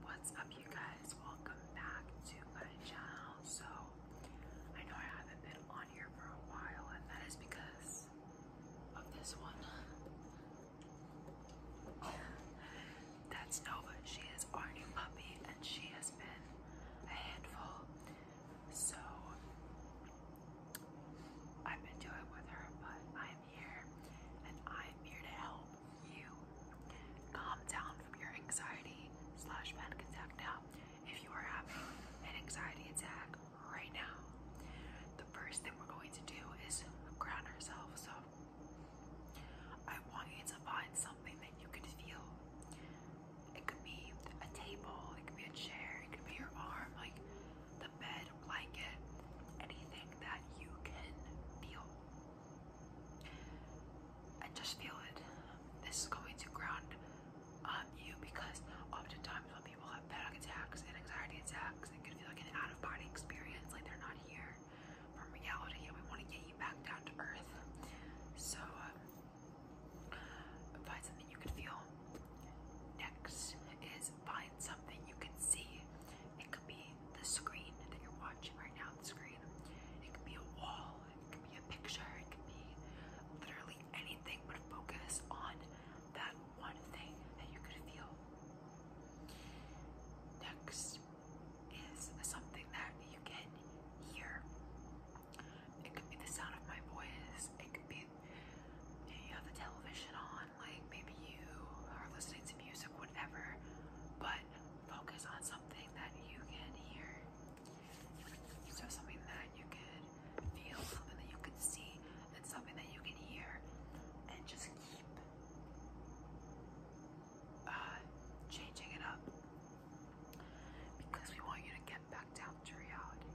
What's up you guys? Welcome back to my channel. So I know I haven't been on here for a while and that is because of this one. That's Nova. She is our new puppy and she has been a handful. So I've been doing with her, but I'm here and I'm here to help you. Calm down from your anxiety slash panic attack now if you are having an anxiety attack right now. The first thing we're going to do is ground ourselves. So I want you to find something that you can feel. It could be a table, it could be a chair, it could be your arm, like the bed, blanket, anything that you can feel. I just feel it. This is going to ground um, you because often times when people have panic attacks and anxiety attacks, it can feel like an out of body experience, like they're not here from reality, and we want to get you back down to earth. So, um, find something you can feel. Next is find something you can see. It could be the screen that you're watching right now, the screen. It could be a wall, it could be a picture, it could be literally anything, but focus on that one thing that you could feel. Next is something that you can hear. It could be the sound of my voice, it could be you have the television on like maybe you are listening to music, whatever, but focus on something that you can hear. So, something that you can feel, something that you can see, and something that you can hear, and just keep uh, changing it up because we want you to get back down to reality.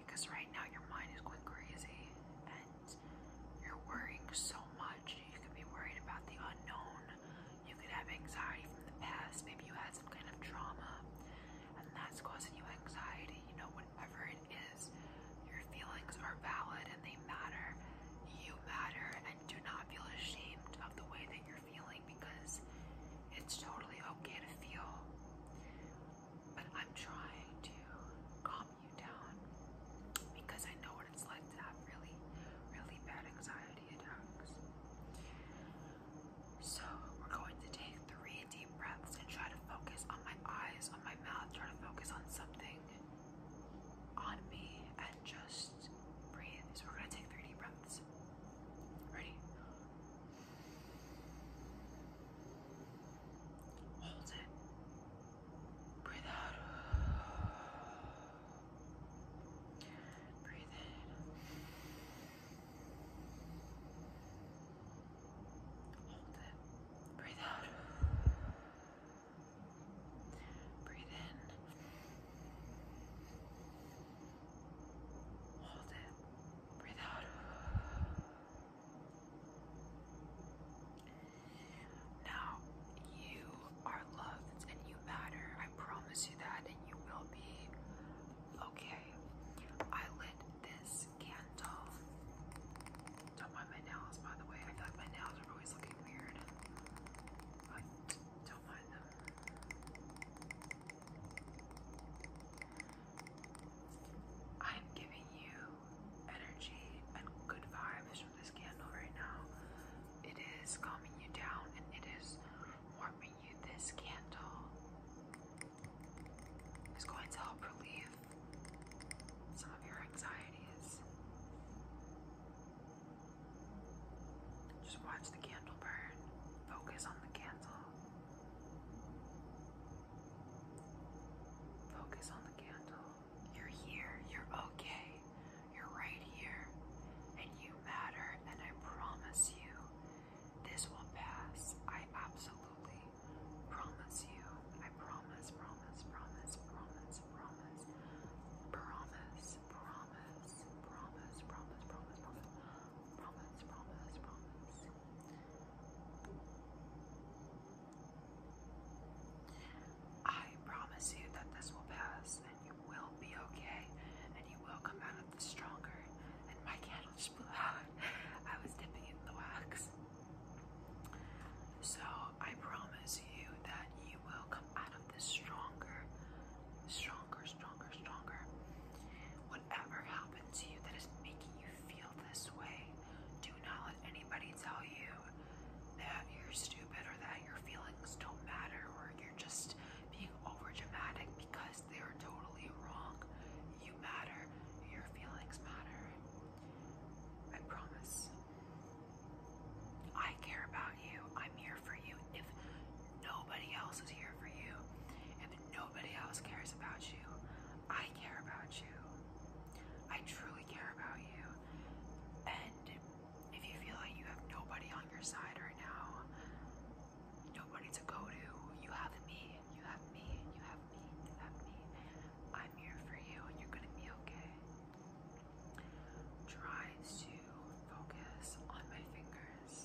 Because right now your mind is going crazy you're worrying so much. You could be worried about the unknown. You could have anxiety from the past. Maybe you had some kind of trauma and that's causing you anxiety. You know, whatever it is, your feelings are valid and they matter. You matter and do not feel ashamed of the way that you're feeling because it's totally okay to feel. But I'm trying to calm you down because I know what it's like to have really, really bad anxiety attacks. So, we're going to take three deep breaths and try to focus on my eyes, on my mouth, try to focus on something on me and just breathe. So, we're going to take three deep breaths. Ready? Hold it. Breathe out. Breathe in. Hold it. Breathe out. Breathe in. Hold it. Breathe out. Now, you are loved and you matter. I promise you that, and you will be okay. I lit this candle. Don't mind my nails, by the way. I feel my nails are always looking weird, but don't mind them. I'm giving you energy and good vibes from this candle right now. It is calming you down and it is warming you. This candle is going to help relieve some of your anxieties. Just watch the candle burn. Focus on the candle. Focus on the candle. You're here. You're okay. You're right here. And you matter. And I promise you, this will pass. I absolutely promise you. I promise, promise, promise, promise, promise, promise, promise, promise, promise, promise, promise, promise, promise, promise. I promise you that this will pass and you will be okay and you will come out of this stronger. And my candle just blew out. I was dipping it in the wax. So I promise you that you will come out of this stronger, stronger, stronger, stronger. Whatever happened to you that is making you feel this way, do not let anybody tell you that you're stupid or that your feelings don't matter or you're just being over because they're totally wrong. You matter, your feelings matter. I promise. I care about you. I'm here for you. If nobody else is here for you, Nobody else cares about you. I care about you. I truly care about you. And if you feel like you have nobody on your side right now, nobody to go to, you have me. And You have me. You have me. You have me. I'm here for you and you're going to be okay. Try to focus on my fingers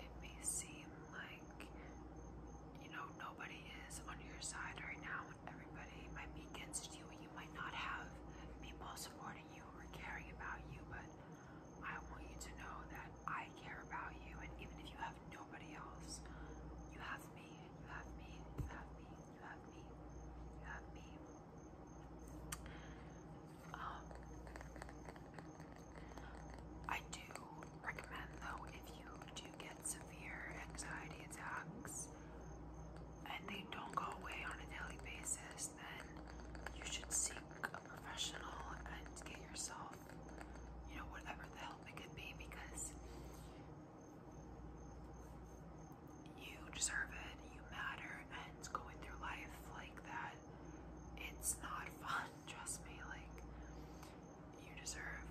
it may seem like you know nobody is on your side right now and everybody might be against you and you might not have people supporting you or caring about you but I want you to know that I care about you and even if you have nobody else you have me you have me you have me you have me you have me um I do recommend, though, if you do get severe anxiety attacks and they don't go away on a daily basis, then you should seek a professional and get yourself, you know, whatever the help it could be because you deserve it, you matter, and going through life like that it's not fun, trust me. Like, you deserve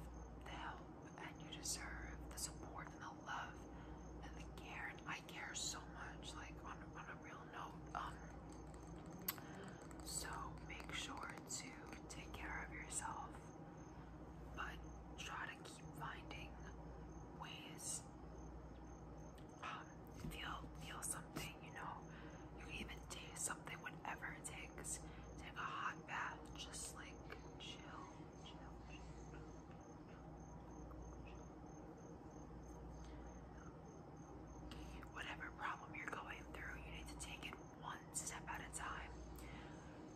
the help and you deserve the support and the love and the care. I care so much, like, on, on a real note. Um, so make sure to take care of yourself, but try to keep finding ways um, feel feel something, you know. You can even do something, whatever it takes. Take a hot bath, just like chill, chill, chill. Whatever problem you're going through, you need to take it one step at a time.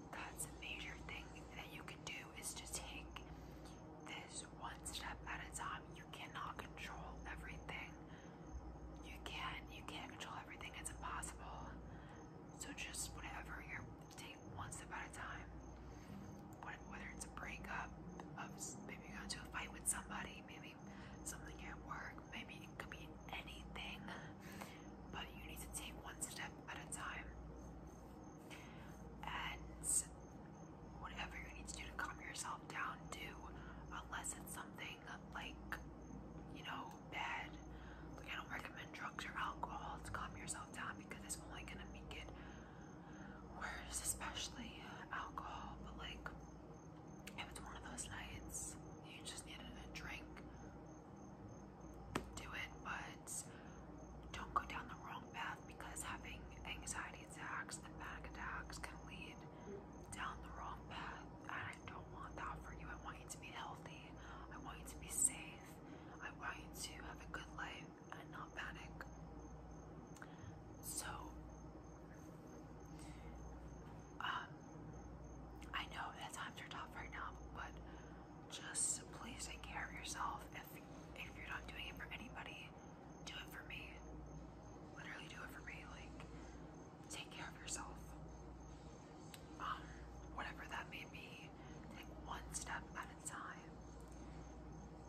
That's a major thing that you can do is to take this one step at a time you cannot control everything. You can't you can't control everything. It's impossible. So just whatever you take one step at a time. Whether it's a breakup, of maybe you got into a fight with somebody, maybe something at work, maybe it could be anything. But you need to take one step at a time. And whatever you need to do to calm yourself down, do. Unless it's something like, you know, bad. Like, I don't recommend drugs or alcohol to calm yourself down because it's only gonna make it worse, especially alcohol. But, like, if it's one of those nights you just needed a drink, do it, but don't go down the wrong path because having anxiety attacks and panic attacks can lead down the wrong path. And I don't want that for you. I want you to be healthy. I want you to be safe. I want you to have a good life and not panic. So, um, I know that times are tough right now, but just please take care of yourself. If if you're not doing it for anybody, do it for me. Literally do it for me. Like, take care of yourself. Um, whatever that may be, take one step at a time.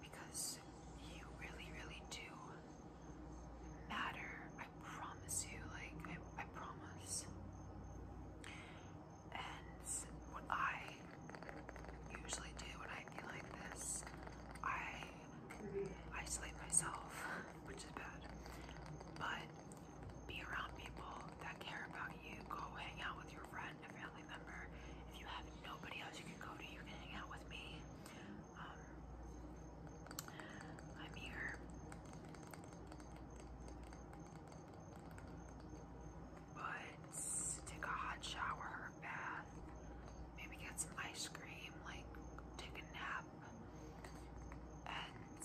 Because you really, really do matter. I promise you. Like, I, promise. And I usually do when I feel like this. I isolate myself, which is bad. But be around people that care about you. Go hang out with your friend, a family member. If you have nobody else you can go to, you can hang out with me. Um, I'm here but take a hot shower or bath, maybe get some ice cream, like take a nap, and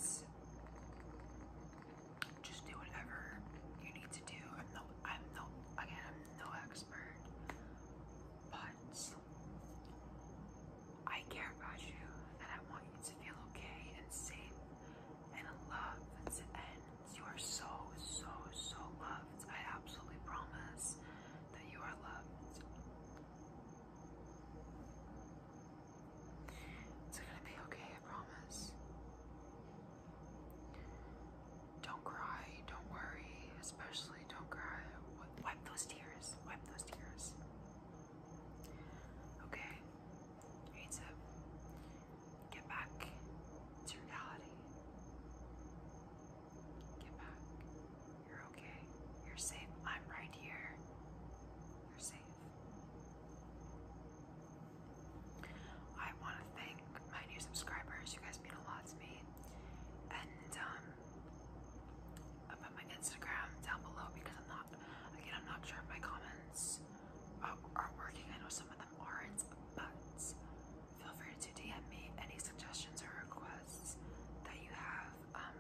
just do whatever you need to do. I'm no, I'm no, again, I'm no expert, but I care about you, and I want you to feel okay and safe and loved and you are so, so, so loved. I absolutely promise that you are loved. It's gonna be okay, I promise. Don't cry, don't worry, especially don't cry. Wipe those tears, wipe those tears. Okay, Ace it. Get back to reality. Get back. You're okay. You're safe. I'm right here. You're safe. I want to thank my new subscribers. You guys mean a lot to me. And um, i put my Instagram down below because I'm not, again, I'm not sure if my comments are working. I know some of them aren't, but feel free to DM me any suggestions or requests that you have. Um,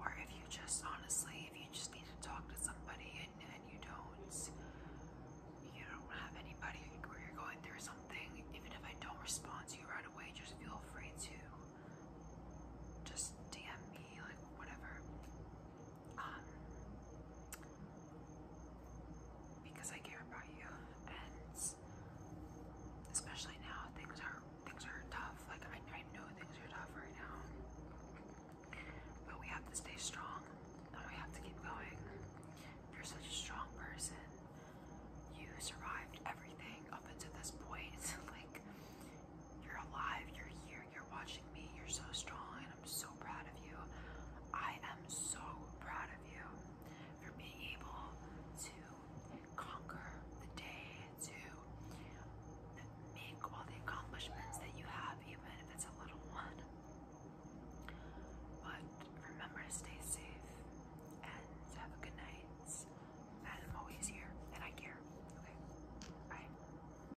or if you just honestly, if you just need to talk to somebody and, and you don't, you don't have anybody where you're going through something, even if I don't respond to you right away, just feel free to just DM me, like whatever. Um, because I care about you, and especially now things are things are tough. Like I, know things are tough right now, but we have to stay strong, and we have to keep going. You're such a strong person. You survived everything up until this point. like you're alive. You're here. You're watching me. You're so strong. I'm so proud of you. I am so proud of you for being able to conquer the day, to make all the accomplishments that you have, even if it's a little one. But remember to stay safe and have a good night. And I'm always here and I care. Bye.